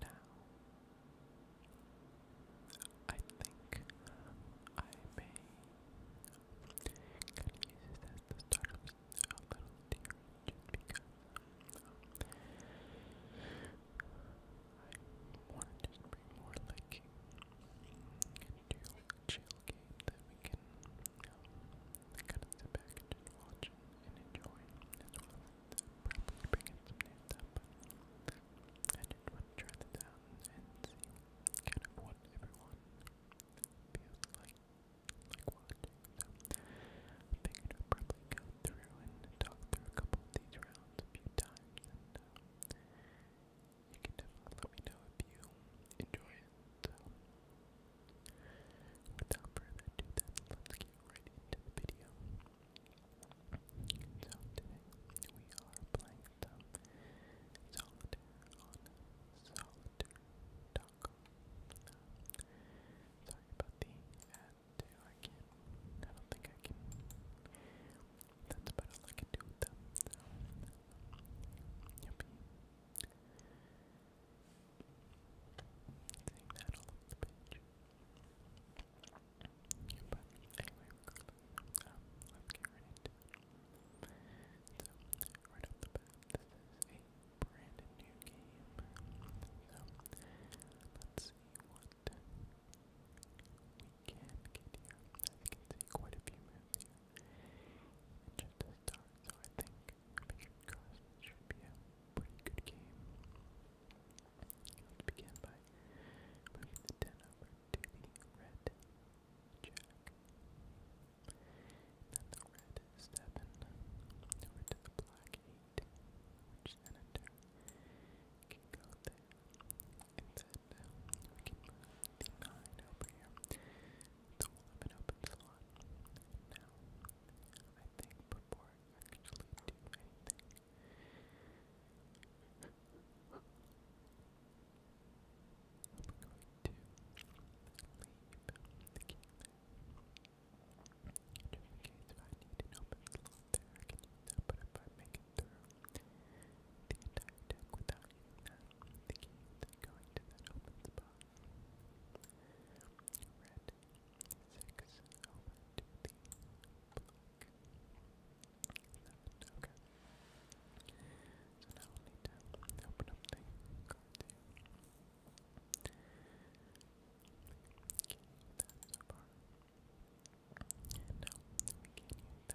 Now, I think I may kind use this at start a little theory because um, I want to bring more like into chill game that we can um, kind of sit back and watch watch and enjoy, as well probably bring in some new stuff. I just want to try this out and see kind of what everyone feels like, like watching. So I figured I'd probably go through and talk through a couple of these rounds a few times, and uh, you can definitely let me know if you enjoy it. So. Without further ado, let's get right into the video. So, today we are playing solitaire on solitaire.com. Sorry about the ad, I can't, I don't think I can. That's about all I can do So, yuppie. Seeing that So, right off the bat, this is a brand new game. So, let's see what we can get here. I think it's quite a few moves here. And just start, so I think Richard Carson should be a pretty good game. Let's begin by moving the 10 over to the red jack. Then the red 7 over to the black 8, which then in turn can go there. And then we can move the 9 over here. The 11 open slot. Now, I think before actually do anything. I'm going to leave the game there. Just I need an open slot there, I can use that, but if I make it through the entire without that, the game going to that open spot. Red six over seven. Okay. So now we need to open up the cards here. Can't use we can't use that.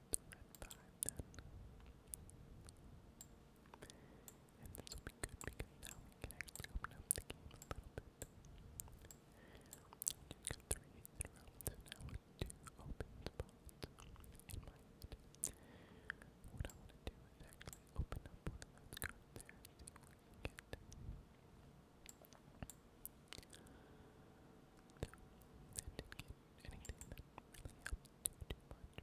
the red And this will be good because now we can actually open up the game a three hits in so now with two open spots in my head. What I want to do is open up one of those cards there and see didn't get anything that really helped do too much.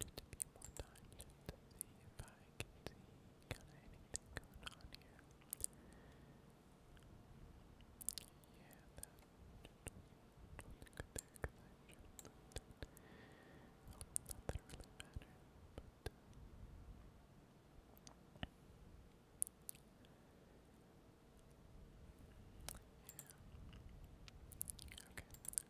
just a few more times just see if I can see kind of anything going on here. Yeah, that just was good there because I should have Well, not really mattered, yeah. Okay,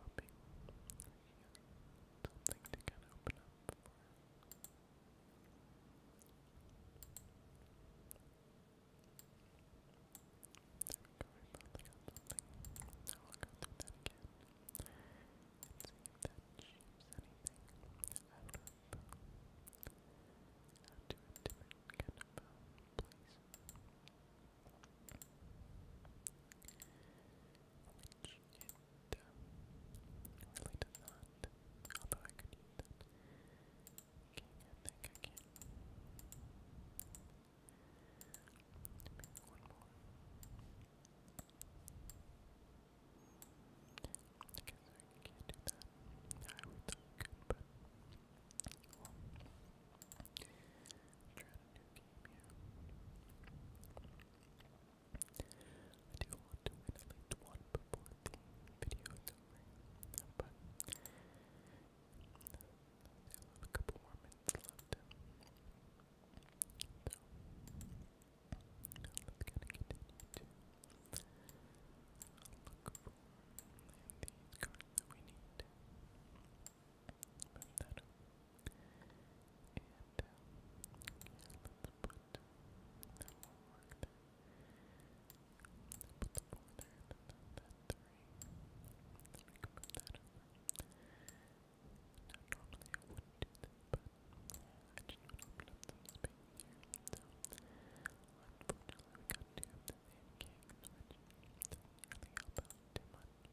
hoping something to kind of open up for. There we go, we finally something. I'll go through that again and see if that shapes anything out of uh, to different kind of um, which it uh, really does not, although I could use that. Okay, I think I can. one more. I I can't do that. I would think but well. to do uh, I do want to win at least one before the video is but I have a couple more minutes left. So, let's kind of continue to look for these cards that we need. Move that up. And um, yeah, let's put that one mark there. Put the four there, and then that three. So we can move that over. Now normally I wouldn't do this, but I just want to open up some space here. So unfortunately we got two of the same king, which doesn't really help out too much.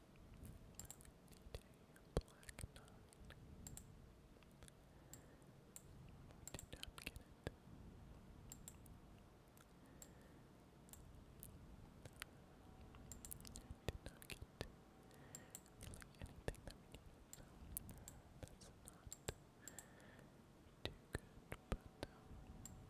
Black Knight. did not get it. did not get really anything that we needed, that's not too good, but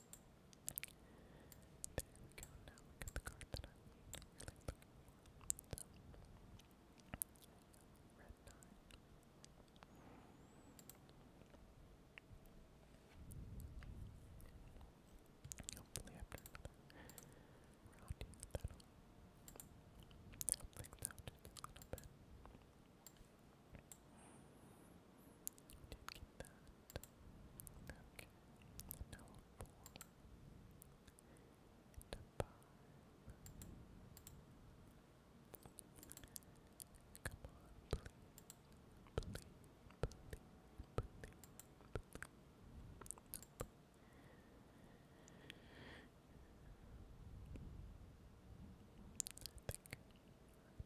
There we go, now we got the card that I'm really looking for. So, red 9. Hopefully after another round here, that'll help things out just a little bit. Did get that. Okay. No four. And a five. Come on, please. Please, please, please, please. Nope. I think I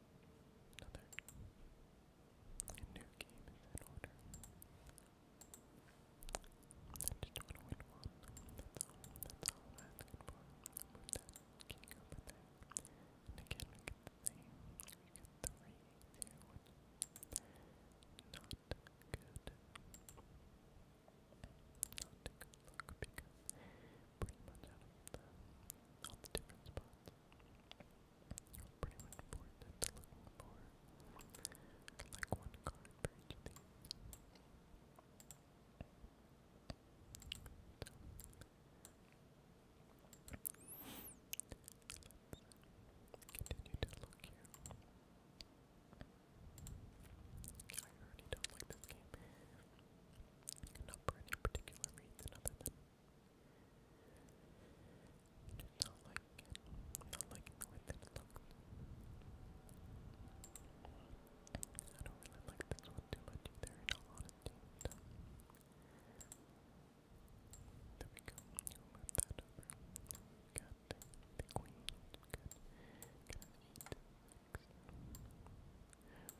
Another new game in order. I just want to win one. That's all. That's all I'm asking for. that king over there. And get the same. We get three, zero, one. Not good. Not a good luck because pretty much out of the all the different spots. Pretty much bored that's looking for like one card for each of continue to look here. I already don't like this game not for any particular reason other than not liking it, not liking the way that it looks. I don't really like this one too much either, in all honesty. There we go, we that over. got the, queen, good do that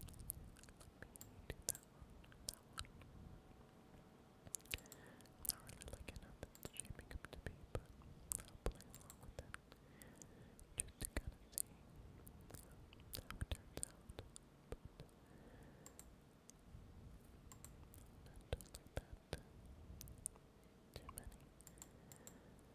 not really liking how that's up to be, but I'll play along with it. Just to kind of see how it turns out. But not like that. Too many.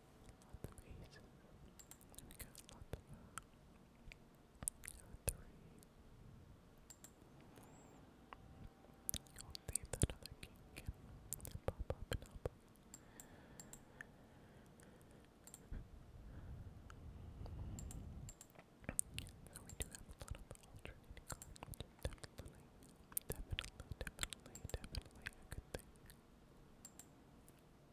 lot of we got a of uh, 3s I'll leave that other king pop up and up. So we do have a of alternating definitely, definitely, definitely, definitely a good thing.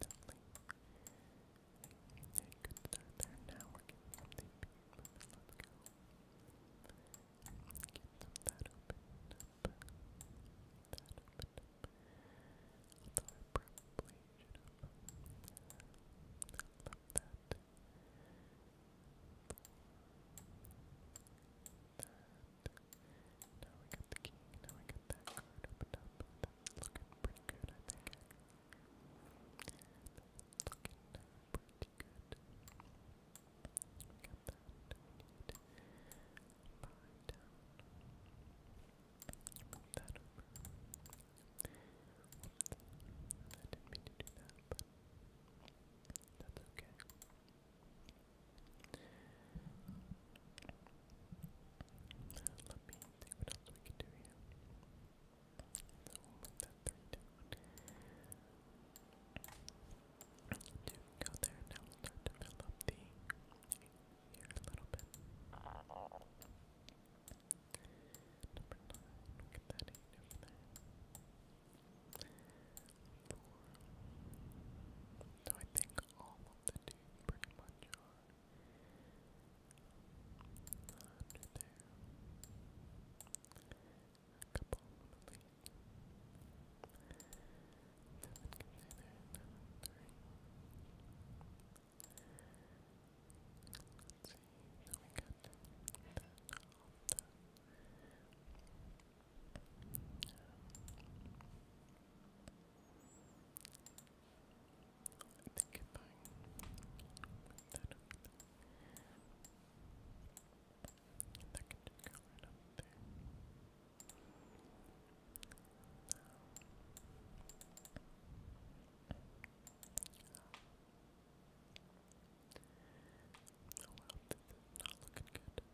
definitely a, start there. Now we're getting some Let's go. Get that opened up. That opened up. Although I probably That. Now we got the king, now we got that card up. That's pretty good, I think. That's looking pretty good. We got that. We need down. that's okay. Let me think what else we can do here. Two go there. Now start to fill up the here a little bit. Number nine. We'll that eight Four. So I think all the dudes pretty much are under there. A couple of them. Seven can stay there, seven, three. Let's see, so we got that off the um, I think if I that that can just go right up there. Oh wow, this is not looking good.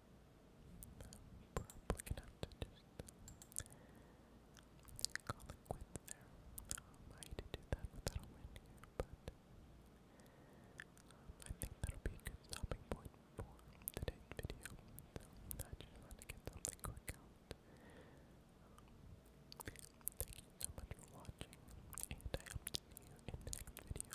Probably gonna have to just call it quits there. I hate to do that but I think that'll be a good stopping point for today's video. So I just wanted to get something quick out. thank you so much for watching, and I hope to see you in the next video.